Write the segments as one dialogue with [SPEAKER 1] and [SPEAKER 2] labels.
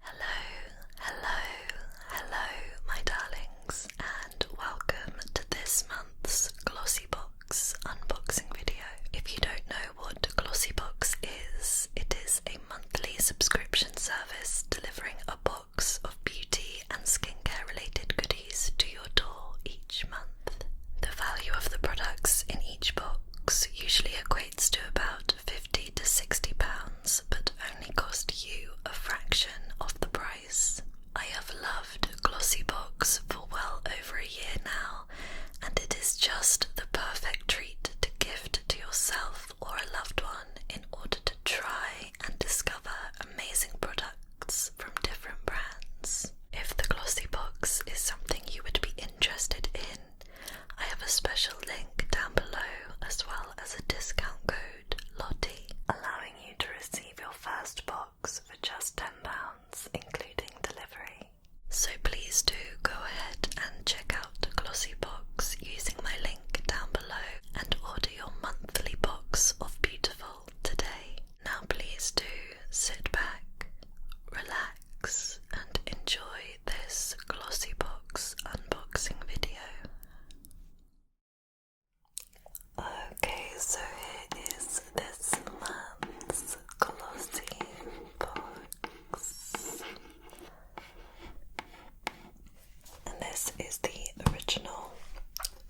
[SPEAKER 1] Hello, hello, hello, my darlings, and welcome to this month's Glossybox unboxing video. If you don't know what Glossybox is, it is a monthly subscription service delivering a box of beauty and skincare related goodies to your door each month. The value of the products in each box usually equates to about 50 to 60 pounds, but only cost you a fraction of the price. I have loved Glossybox for well over a year now, and it is just the perfect treat to gift to yourself or a loved one in order to try and discover amazing products from different brands. If the Glossy Box is something you would be interested in, I have a special link down below as well as a discount code Lottie, allowing you to receive your first box for just £10, including delivery. So please do go ahead and check out Glossy Box using my link down below and order your monthly box of beautiful today. Now please do sit back, relax, and enjoy this Glossy Box unboxing video. Okay, so here is this month's Glossy Box. And this is the original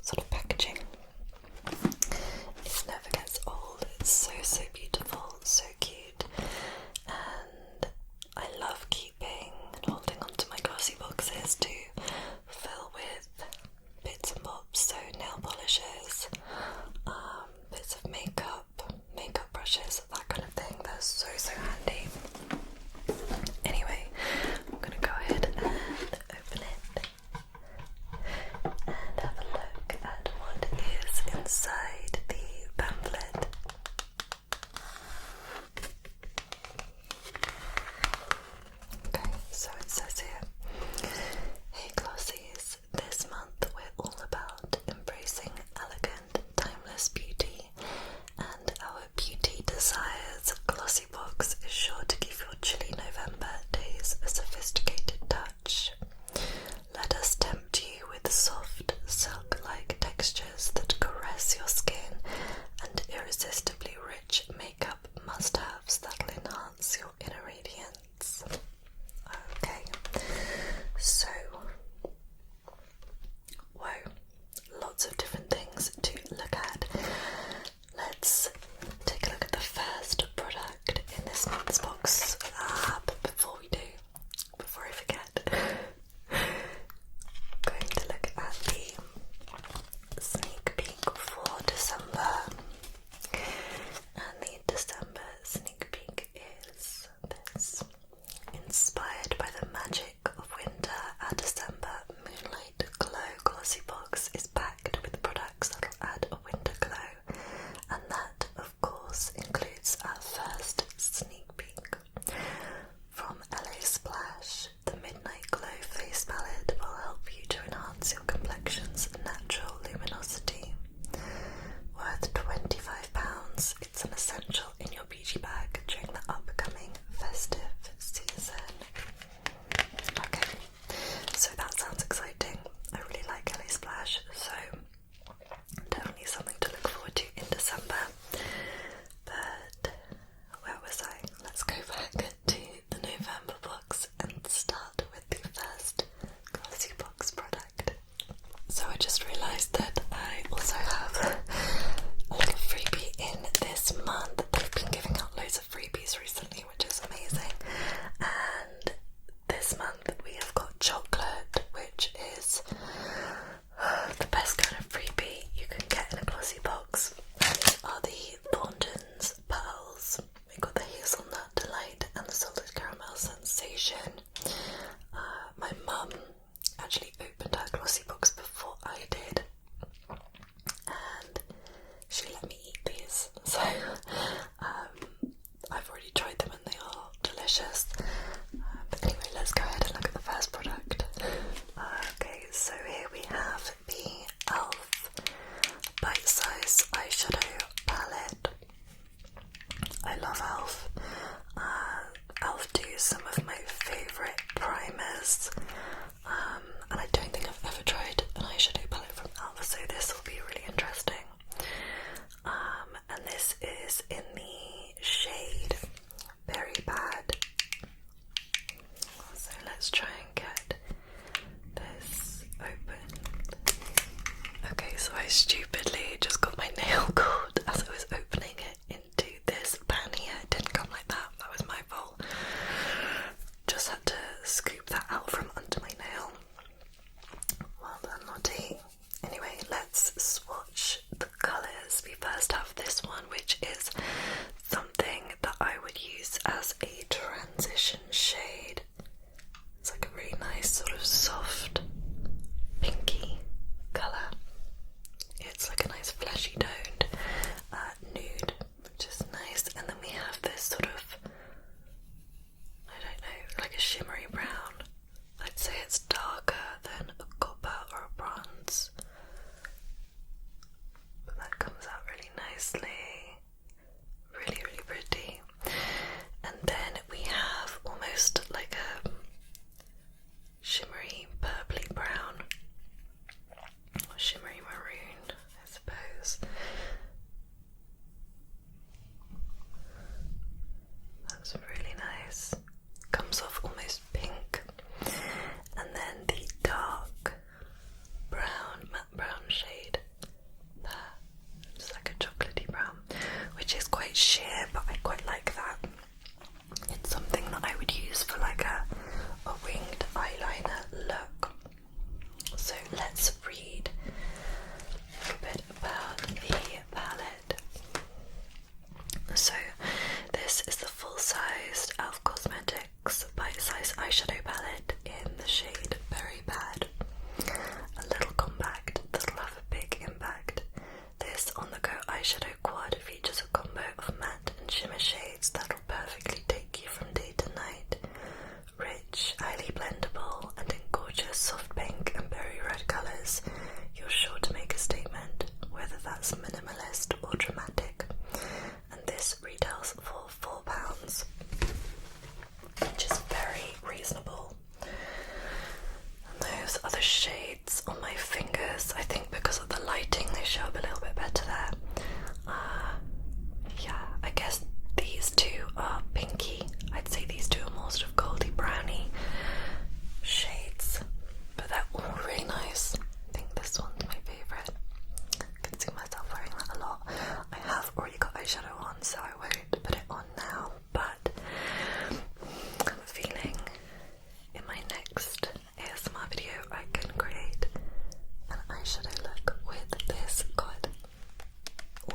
[SPEAKER 1] sort of packaging. It never gets old, it's so so beautiful, so cute, and I love keeping and holding onto my glossy boxes to fill with bits and bobs, so nail polishes, um, bits of makeup, makeup brushes, that kind of thing. They're so so handy. Anyway, I'm gonna go ahead and open it and have a look at what is inside the pamphlet. Okay, so it says here Hey Glossies, this month we're all about embracing elegant, timeless beauty, and our Beauty Desires Glossy Box is sure to give your chilly November days a sophisticated touch. Let us tempt you with soft, silk like textures that caress your skin and irresistibly rich makeup must haves that enhance your inner radiance. Okay, so, whoa, lots of different things to look at. Let's take a look at the first product in this month's box. but uh, before we do, before I forget, am going to look at the sneak peek for December. And the December sneak peek is this Inspired by the magic of winter, our December Moonlight Glow Glossy Box is packed with products that'll add a winter glow and that of course, includes our first sneak peek from LA Splash. The Midnight Glow Face Palette will help you to enhance your complexion's natural luminosity. Worth £25, it's an essential in your beauty bag during the upcoming festive season. Okay, so that sounds exciting. I really like LA Splash, so Definitely something to look forward to in December. But where was I? Let's go back to the November box and start with the first glossy box product. So I just realised that I also have a little freebie in this month. They've been giving out loads of freebies recently, which is amazing. And this month we have got chocolate, which is uh, the best kind of freebie you can get in a glossy box. These are the Thornton's Pearls. We got the hazelnut delight and the salted caramel sensation. Uh, my mum actually opened her glossy box before I did, and she let me eat these. So um, I've already tried them and they are delicious. Um, but anyway, let's go ahead and look at the first product. Uh, okay, so here we have the e.l.f. Bite Size Eyeshadow Palette. I love e.l.f. Uh, e.l.f. do some of my favourite primers, um, and I don't think I've ever tried an eyeshadow palette from e.l.f., so this will be really interesting. Um, and this is in the shade Very Bad. So let's try and get this open. Okay, so I stupidly just got my nail caught as I was opening it into this pan here. It didn't come like that, that was my fault. Just had to scoop that out from under my nail. Well done, naughty. Anyway, let's swatch the colours. We first have this one, which is something that I would use as a transition shade. It's like a really nice, sort of soft, pinky colour. It's like a nice, fleshy toned uh, nude, which is nice. And then we have this sort of I don't know, like a shimmery brown. I'd say it's darker than a copper or a bronze. But that comes out really nicely. Really, really pretty. And then we have almost like a shimmery purply brown. shimmery maroon, I suppose. That's really nice. Comes off almost pink. And then the dark brown, matte brown shade It's like a chocolatey brown, which is quite sheer, but I quite like that. It's something that I would use for like a, a winged eyeliner look. So let's read bit about the palette. So, this is the full sized e.l.f. Cosmetics bite size eyeshadow palette in the shade Very Bad. A little compact that'll have a big impact. This on the go eyeshadow quad features a combo of matte and shimmer shades that'll perfectly take you from day to night. Rich, highly blendable, and in gorgeous soft pink and berry red colours, you're sure to make a statement, whether that's minimalist or dramatic. And this retails for four pounds, which is very reasonable. And those other shades on my fingers, I think because of the lighting, they show up a little bit better there. Uh, yeah, I guess these two are pinky I'd say these two are more sort of goldy brownie shades, but they're all really nice. I think this one's my favourite. I can see myself wearing that a lot. I have already got eyeshadow on, so I won't put it on now, but I'm feeling in my next ASMR video I can create an eyeshadow look with this. God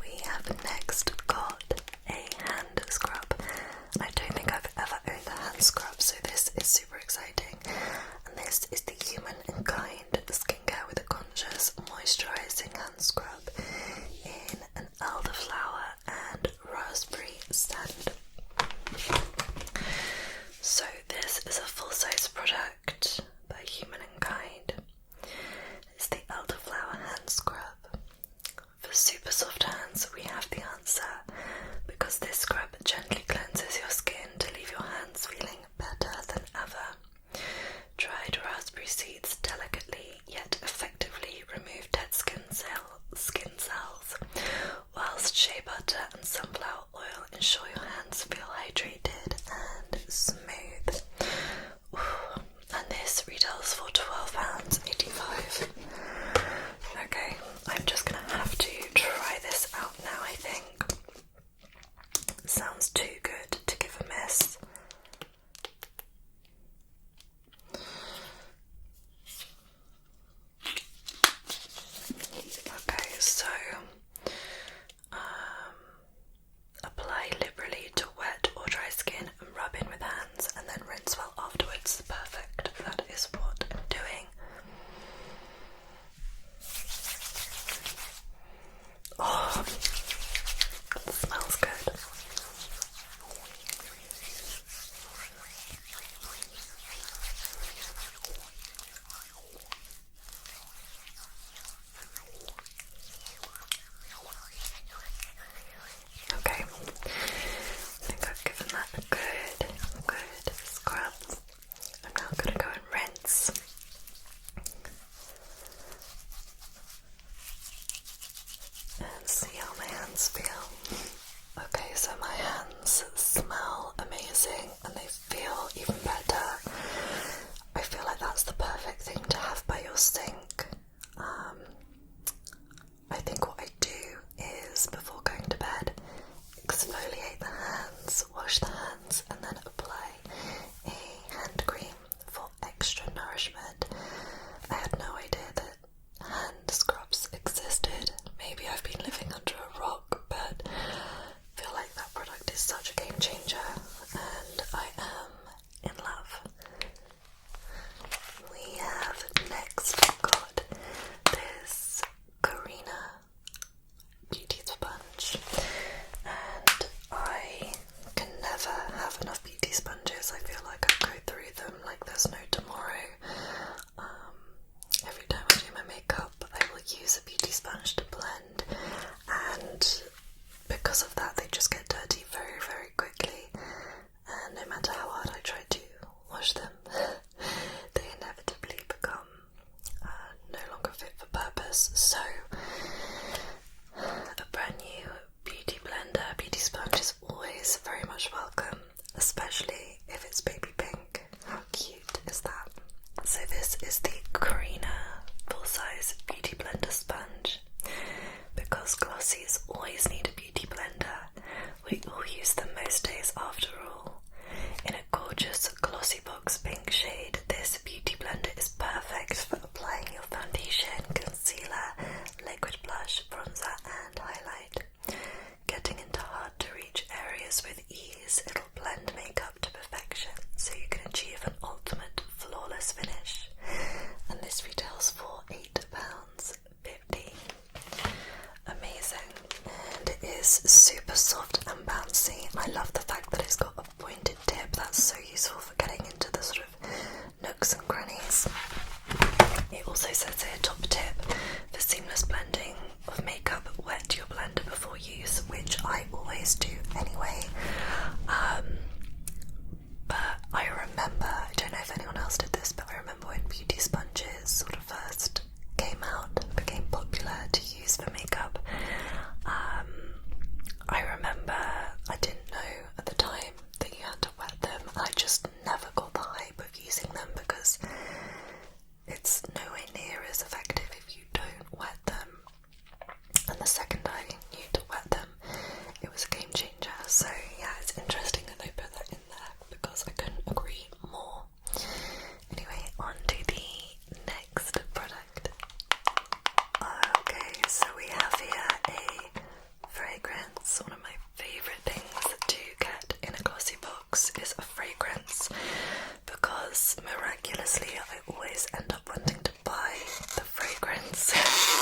[SPEAKER 1] we have next got a hand scrub. I don't think I've ever owned a hand scrub, so this is super exciting. And this is the Human and Kind Skincare with a Conscious Moisturizing Hand Scrub in elderflower and raspberry scent. So, this is a full size product by Human and Kind. It's the elderflower hand scrub. For super soft hands, we have the answer because this scrub gently cleanses your skin to leave your hands feeling better than ever. Dried raspberry seeds delicately yet effectively remove dead skin, cell, skin cells, whilst shea butter and sunflower oil ensure your hands feel hydrated and smooth and this retails for £12.85. Okay, I'm just gonna have to try this out now, I think. Sounds too good to give a miss. Okay, so um, Apply liberally to wet or dry skin and rub in with hands and then rinse well afterwards. Perfect. That is what I'm doing. Oh, smells good. Okay, I have given that a good, good scrub. I'm going to go and rinse. And see how my hands feel. Okay, so my hands smell amazing and they feel even better I feel like that's the perfect thing to have by your sink. Um, I think what I do is before going to bed, exfoliate the hands, wash the hands, and then apply a hand cream for extra nourishment. I had no idea that hand scrubs existed. Maybe I've been living under a rock, but feel like that product is such a game changer, and I am in love. We have next got this Karina beauty sponge, and I can never have enough beauty sponges. I feel like I go through them like there's no tomorrow. Um, every time I do my makeup, I will use a beauty sponge to blend, and because of that, they just get dirty very, very quickly. And no matter how hard I try to wash them, they inevitably become uh, no longer fit for purpose. So, a brand new beauty blender, beauty sponge is always very much welcome, especially if it's baby pink. How cute is that? So this is the Karina Full Size Beauty Blender Sponge. Because glossies always need a beauty blender, we all use them most days after all. In a gorgeous glossy box pink shade, this beauty blender is perfect for applying your foundation, concealer, liquid blush, bronzer, and highlight. Getting into hard to reach areas with ease, it'll blend makeup makeup to perfection so you can achieve an ultimate flawless finish. And this retails for £8.50. Amazing. And it is super soft and bouncy. I love the fact that it's got a pointed tip. That's so useful for getting into the sort of nooks and crannies. It also says here top tip for seamless blending of makeup, wet your blender before use, which I always do anyway. Um, but I remember, I don't know if anyone else did this, but I remember when beauty sponges sort of first came out and became popular to use for makeup. Um, I remember I didn't know at the time that you had to wet them, I just never got the hype of using them because it's nowhere near as effective if you don't wet them and the second I knew to wet them, it was a game changer. So, yeah, it's interesting that they put that in there because I couldn't agree more. Anyway, on to the next product. Okay, so we have here a fragrance. One of my favourite things to get in a glossy box is a fragrance because miraculously I always end up wanting to buy the fragrance.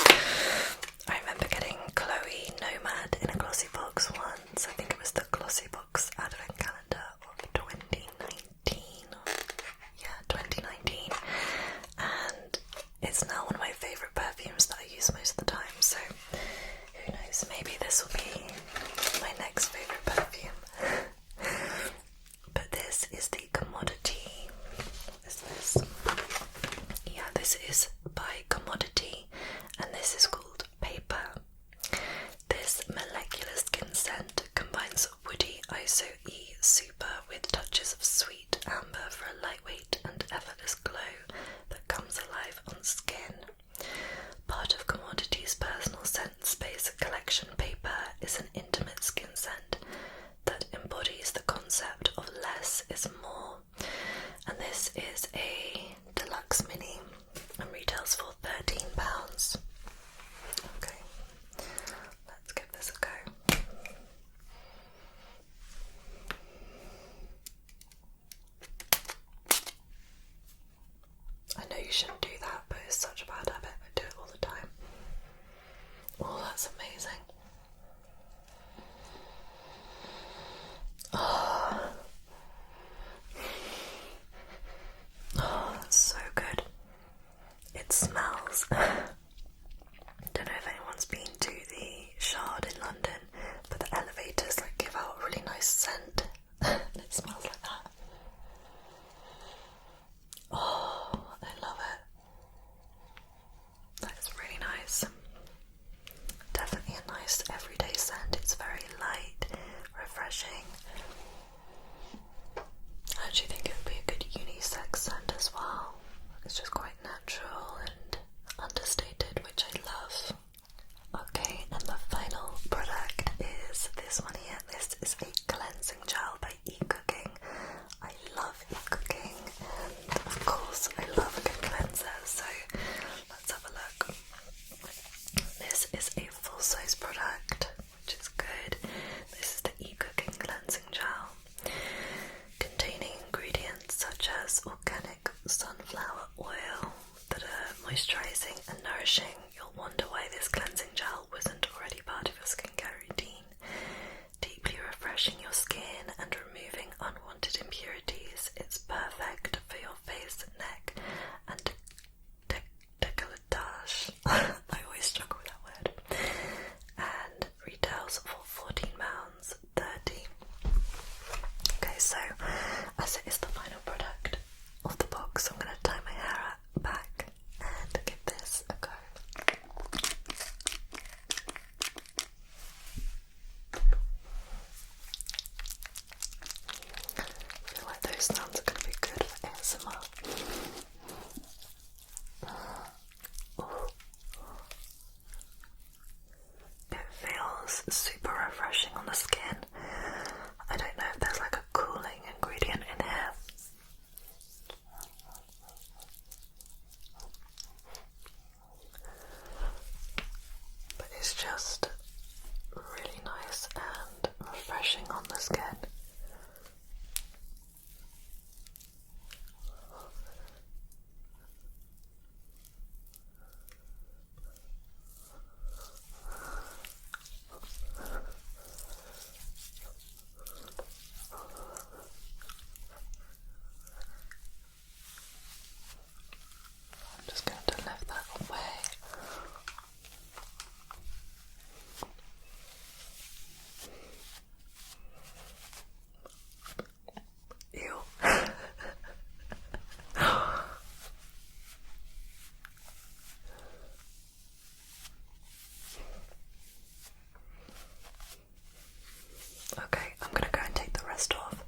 [SPEAKER 1] I remember getting Chloe Nomad in a glossy box once. I think it was the glossy box advent calendar of 2019. Yeah, 2019. And it's now one of my favourite perfumes that I use most of the time. So who knows, maybe this will be my next favourite perfume. But this is the commodity. What is this? Yeah, this is by commodity, and this is called paper. This molecular skin scent combines woody ISO E super with touches of sweet amber for a lightweight and effortless glow that comes alive on skin. Part of commodity's personal scent Space Collection paper is an intimate skin scent that embodies the concept of less is more. And this is a deluxe mini and retails for £13. Okay, let's give this a go. I know you shouldn't do that, but it's such a bad habit. I do it all the time. Oh, that's amazing. Oh, so good. It smells. Don't know if anyone's been to the Shard in London, but the elevators like give out a really nice scent. it smells like that. Oh, I love it. That's really nice. Definitely a nice everyday scent. It's very light, refreshing. I actually think it would be a good unisex scent as well. It's just quite natural and understated, which I love. Okay, and the final product is this one here. This is a cleansing gel by eCooking. I love eCooking. Of course, I love a good cleanser, so let's have a look. This is a full size product, which is good. This is the eCooking cleansing gel containing ingredients such as organic sunflower oil that are moisturizing and nourishing you'll wonder why this cleansing gel wasn't already part of your skincare routine. Deeply refreshing your skin and removing unwanted impurities, it's perfect for your face, neck, and de decolletage. I always struggle with that word. And retails for £14.30. Okay, so as it is the final product of the box, I'm going to tie my hair up back and give this a go. feel like those sounds are going to be good for ASMR. It feels super refreshing on the skin. I don't know if there's like a cooling ingredient in here. But it's just really nice and refreshing on the skin. I'm just going to lift that away. Ew. Okay, I'm gonna go and take the rest off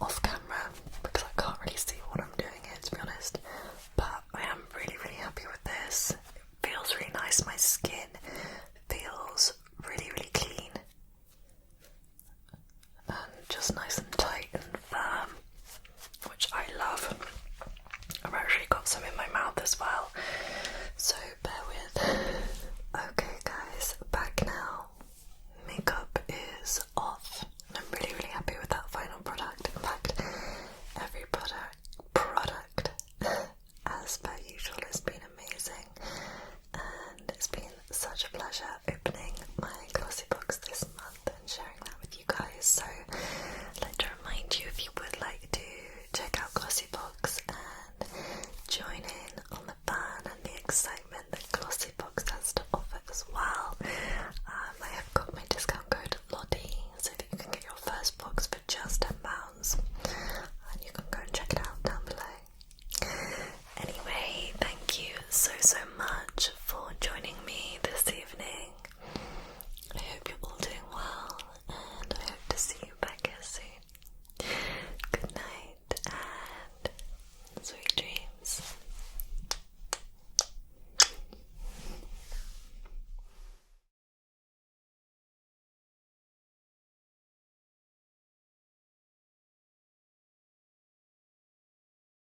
[SPEAKER 1] off camera because I can't really see what I'm doing here to be honest. But I am really really happy with this. It feels really nice, my skin feels really really clean and just nice and tight and firm which I love. I've actually got some in my mouth as well, so bear with. Okay, guys, back now. Makeup is off. I'm really, really happy with that final product. In fact, every product product as per usual has been amazing and it's been such a pleasure opening my glossy box this month month sharing that with you guys. So, I'd like to remind you if you would like to check out Glossybox and join in on the fun and the excitement that Glossybox has to offer as well. Um, I have got my discount code Lottie, so that you can get your first box for just ten pounds, and you can go and check it out down below. Anyway, thank you so so much for joining me this evening. I hope you're all doing well, and I hope to see you back here soon. Good night and sweet dreams.